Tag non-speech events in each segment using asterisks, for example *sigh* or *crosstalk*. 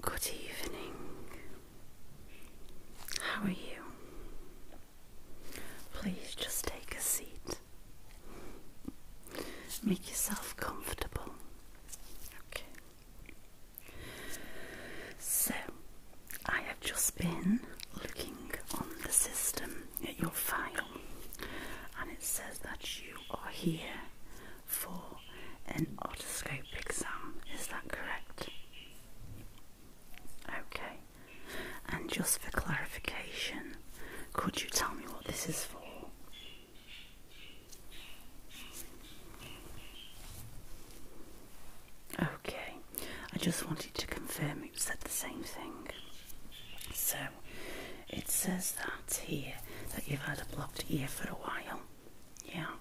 Good evening. How are you? Please just take a seat. Make yourself comfortable. Okay. So, I have just been looking on the system at your file, and it says that you are here for an otoscope exam. Is that correct? Okay. And just for clarification, could you tell me what this is for? Okay, I just wanted to confirm it said the same thing. So it says that here that you've had a blocked ear for a while. Yeah.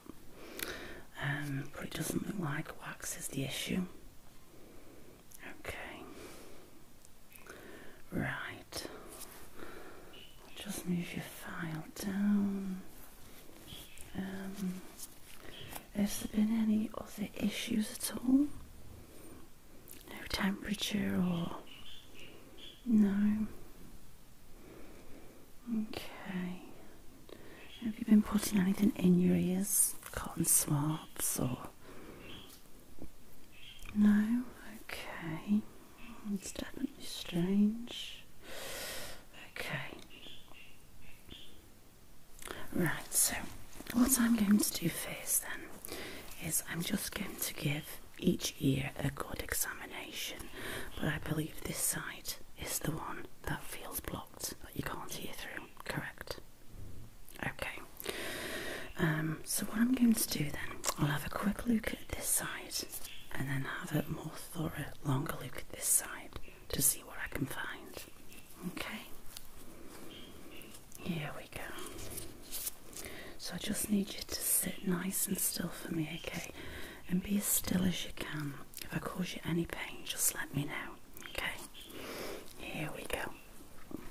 Um, but it doesn't look like wax is the issue. Okay, right, just move your file down. Um, has there been any other issues at all? No temperature or no. Okay. Have you been putting anything in your ears? Cotton swabs or. No? Okay. It's definitely strange. Okay. Right, so what I'm going to do first then is I'm just going to give each year a good examination, but I believe this side is the one that feels blocked, that you can't hear through, correct? Okay, um, so what I'm going to do then, I'll have a quick look at this side and then have a more thorough, longer look at this side to see what I can find. Okay, here we go. So I just need you to sit nice and still for me, okay? And be as still as you can. If I cause you any pain, just let me know, okay? Here we go.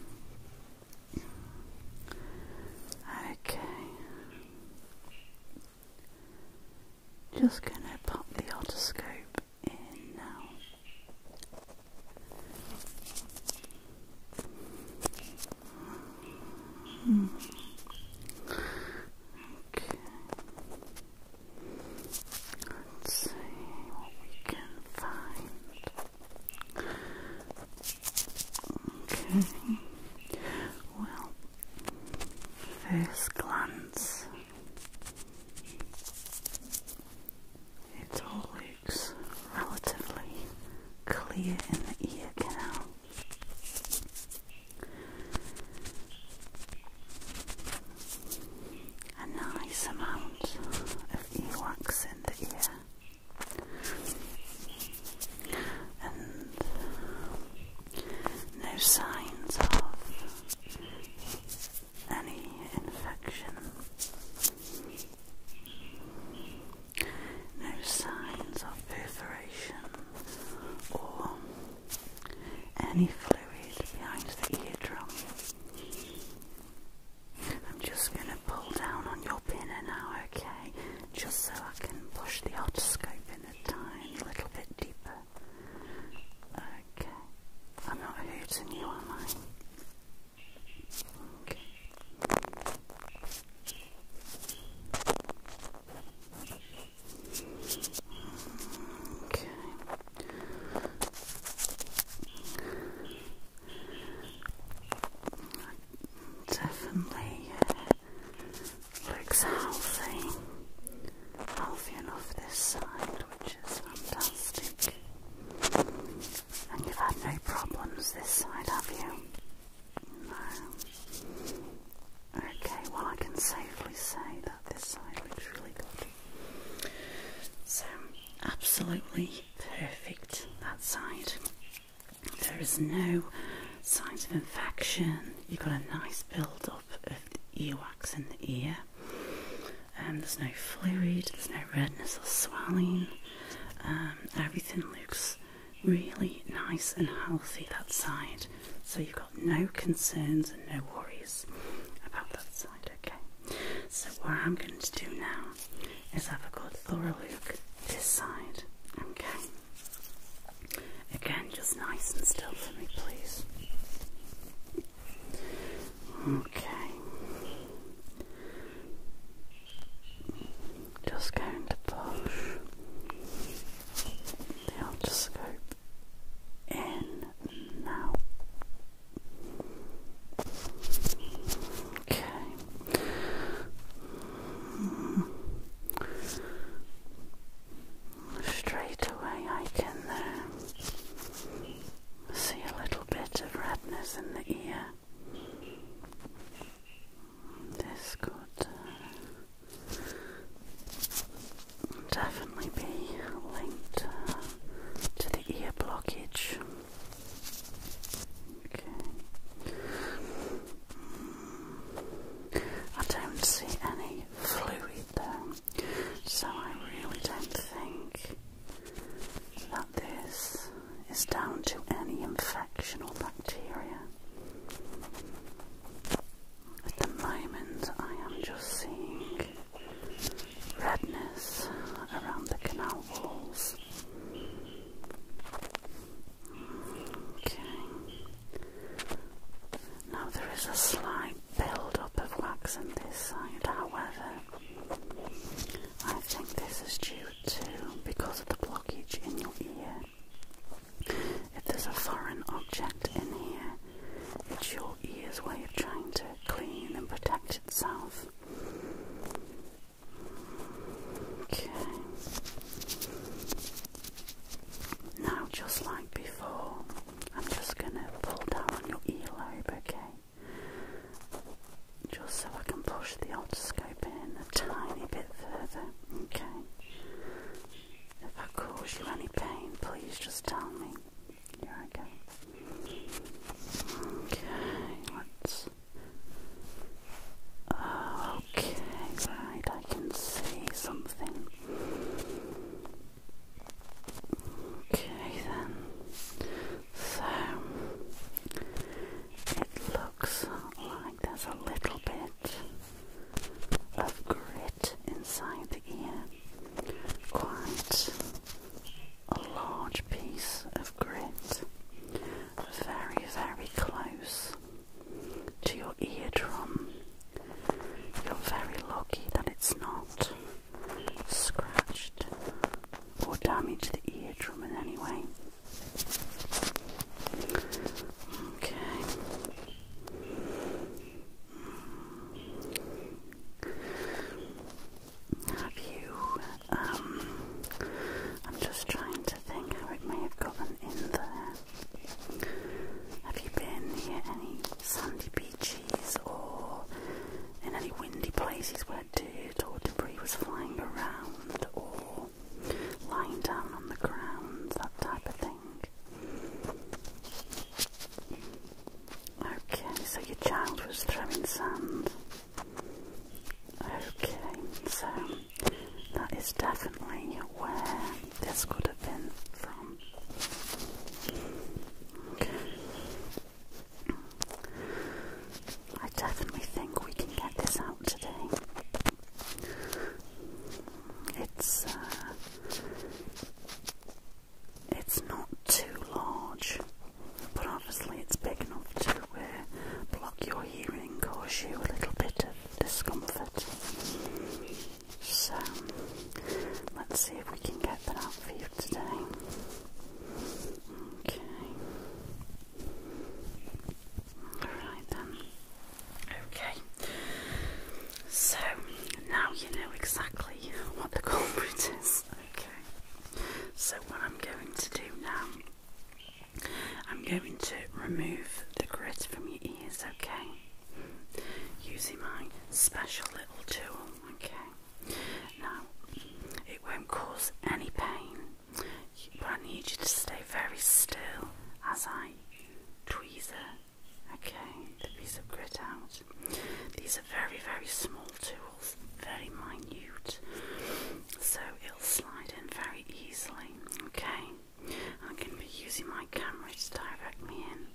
Okay. Just going to pop the otoscope in now. Okay. Let's see what we can find. Okay. Well, first glance, it all looks relatively clear in the ear canal. A nice amount of earwax in the ear, and no signs of any infection. No signs of perforation or any fluid behind the eardrum. I'm just going to pull down on your pinner now, okay? Just so I can push the otoscope in a tiny little bit deeper. Okay. I'm not hurting you, am I? Okay. Okay. Definitely uh, looks healthy, healthy enough this side, which is fantastic. And you've had no problems this side, have you? No. Okay, well, I can safely say that this side looks really good. So, absolutely perfect that side. There is no signs of infection. You've got a nice build up of earwax in the ear. Um, there's no fluid, there's no redness or swelling. Um, everything looks really nice and healthy that side. So you've got no concerns and no worries about that side, okay? So what I'm going to do now is have a good thorough look this side, okay? Again, just nice and still for me, please. Okay. Just going to push the otoscope in now. Okay. Straight away, I can uh, see a little bit of redness in the ear. This could uh, definitely be linked uh, to the ear blockage. Okay. I don't see any fluid though, so I really don't think that this is down to any infection or bacteria. At the moment, I am just seeing redness around the canal walls. Okay. Now there is a slight build up of wax on this side, however, I think this is due because of the blockage in your ear. If there's a foreign object in here, it's your ear's way of trying to clean and protect itself. Okay. Now, just like before, I'm just going to pull down your earlobe, okay? just so I can push the otoscope in a tiny bit further. Okay. If I cause you any pain, please just tell me. Here I go. Okay, let uh, okay, right, I can see something. Okay, then. So it looks like there's a little bit of grit inside the ear, quite a large piece of grit, very, very close to your eardrum. You're very lucky that it's not scratched or damage the eardrum in any way. Okay. Have you? Um, I'm just trying to think how it may have gotten in there. Have you been near any sandy beaches or in any windy places where deer or debris was flying around or lying down on the ground, that type of thing. Okay, so your child was throwing sand. Okay, so that is definitely where this could have been from. I definitely think we can get this out today. It's uh, it's not too large, but obviously it's big enough to uh, block your hearing, cause you a little bit of discomfort. So let's see if we can get that out for you today. Okay. Alright then. Okay. So now you know exactly what the culprit is. Okay. So what I'm going to do now, I'm going to remove the grit from your ears, okay? Using my special little tool, okay? Now, it won't cause any pain, but I need you to stay very still as I tweezer, okay, the piece of grit out. These are very, very small tools, very minute, so it'll slide in very easily, okay. I am going to be using my camera to direct me in.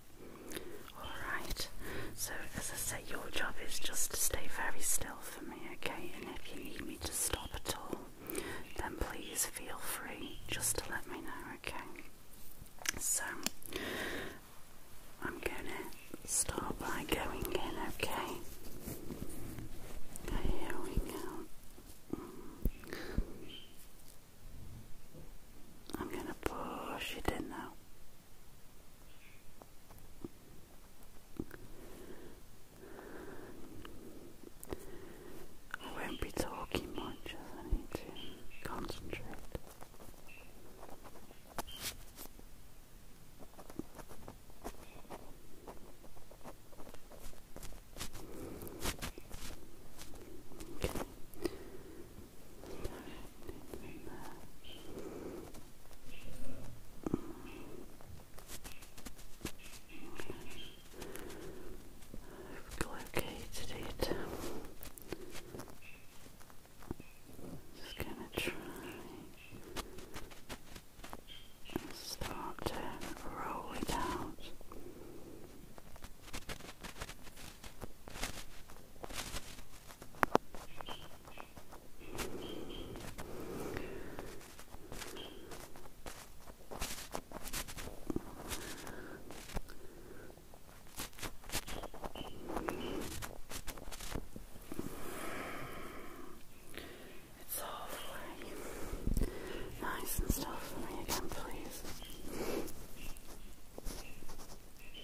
Alright, so as I say, your job is just to stay very still for me, okay? And if you need me to stop at all, then please feel free just to let me know, okay? So, I'm gonna start by going in, okay? Here we go. I'm gonna push it in now. I won't be talking much I need to concentrate. Okay. I've located it. Just gonna try and start to roll it out. It's all for you. Nice and still for me again, please.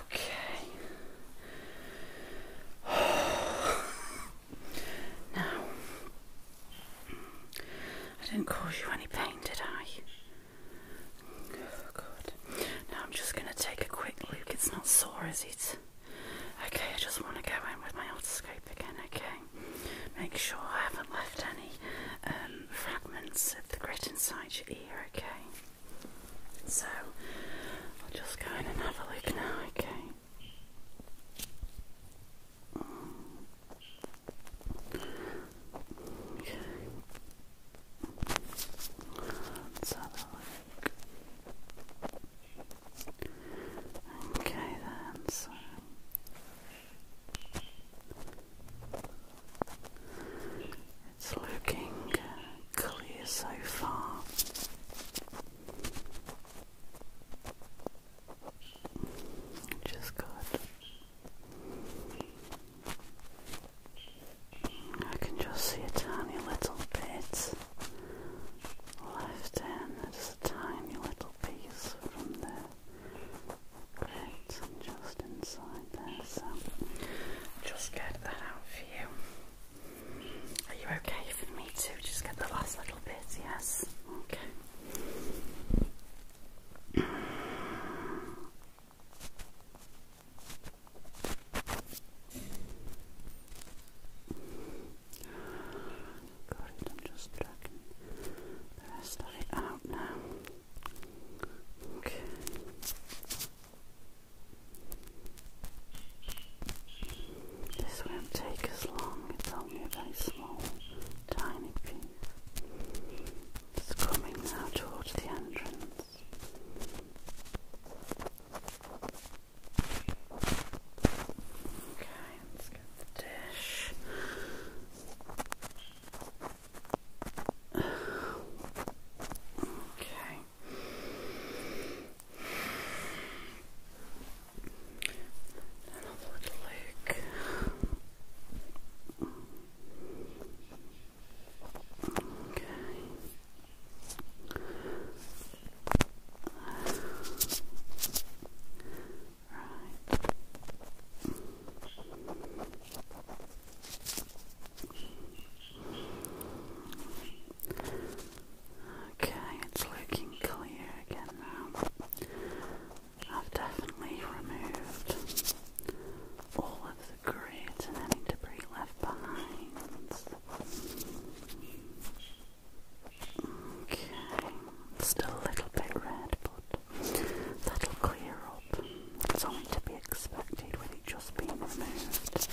Okay. *sighs* now, I didn't cause you any pain, did I? Oh, good. Now I'm just going to take a quick look. It's not sore, is it? Okay, I just want to go in with my old scope again, okay? Make sure I haven't left any um, fragments of the grit inside your ear, okay? So, I'll just go in and have a look now, okay? Okay. Let's have a look. Okay then, so it's looking clear so far. Which good. I can just see a little bit left hand, just a tiny little piece from the grate just inside there. So just get that out for you. Are you okay for me to just get the last little bit? Yes. Okay. I'm just plucking the rest of it out now. Okay. This won't take as long, it's only a very small, tiny piece. It's coming now towards the entrance. Okay, let's get the dish. Okay. Another little look. Okay. Okay, it's looking clear again now. I've definitely removed all of the grit and any debris left behind. Okay, still a little bit red, but that'll clear up. It's only to be expected with it just being removed.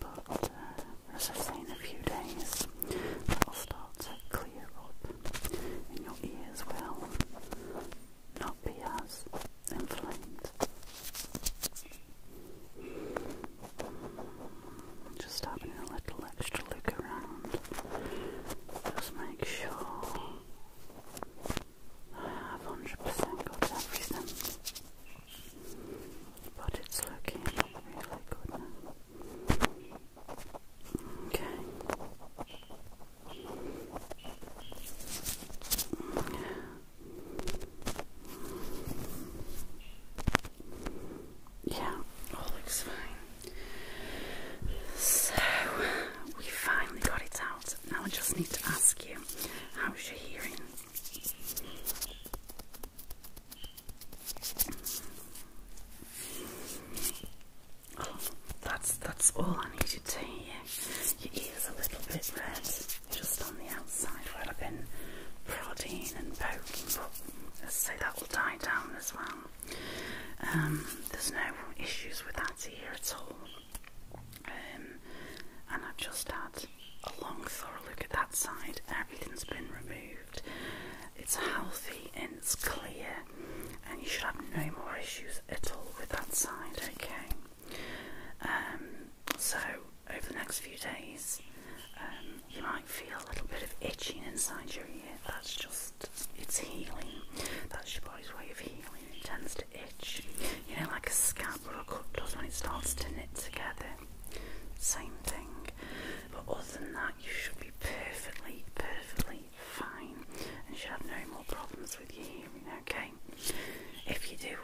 But uh, as I say, in a few days, that'll start to clear up, and your ears will not be as inflamed. Just having a little extra look around. Just make sure I have 100% got everything. But it's looking really good now. Okay yeah, all looks fine. So we finally got it out. Now I just need to ask you, how's your hearing? Oh, that's that's all I needed to hear. Your ears a little bit red. Just on the outside where I've been prodding and poking, so that will die down as well. Um, there's no issues with that ear at all. Um, and I've just had a long, thorough look at that side. Everything's been removed. It's healthy and it's clear, and you should have no more issues at all with that side. Okay. Um, so over the next few days, um, you might feel a little bit of itching inside your ear. That's just, it's healing. That's your body's way of healing. It tends to itch. You know, like a scab or a cut does when it starts to knit together. Same thing. But other than that, you should be perfectly, perfectly fine and should have no more problems with your hearing, okay? If you do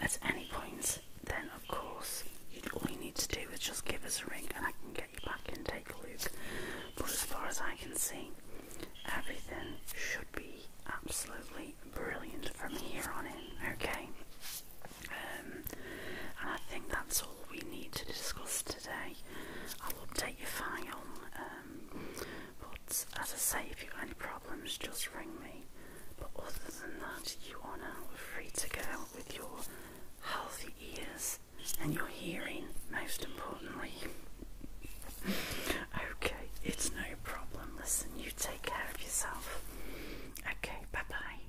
at any point, then of course, all you need to do is just give us a ring and I can get you back and take a look. But as far as I can see, everything should be absolutely brilliant from here on in, okay? Um, and I think that's all we need to discuss today. I'll update your file, um, but as I say, if you've any problems, just ring me. But other than that, you are now free to go with your healthy ears and your hearing, most importantly. *laughs* okay, it's no problem. Listen, you take care of yourself. Okay, bye bye.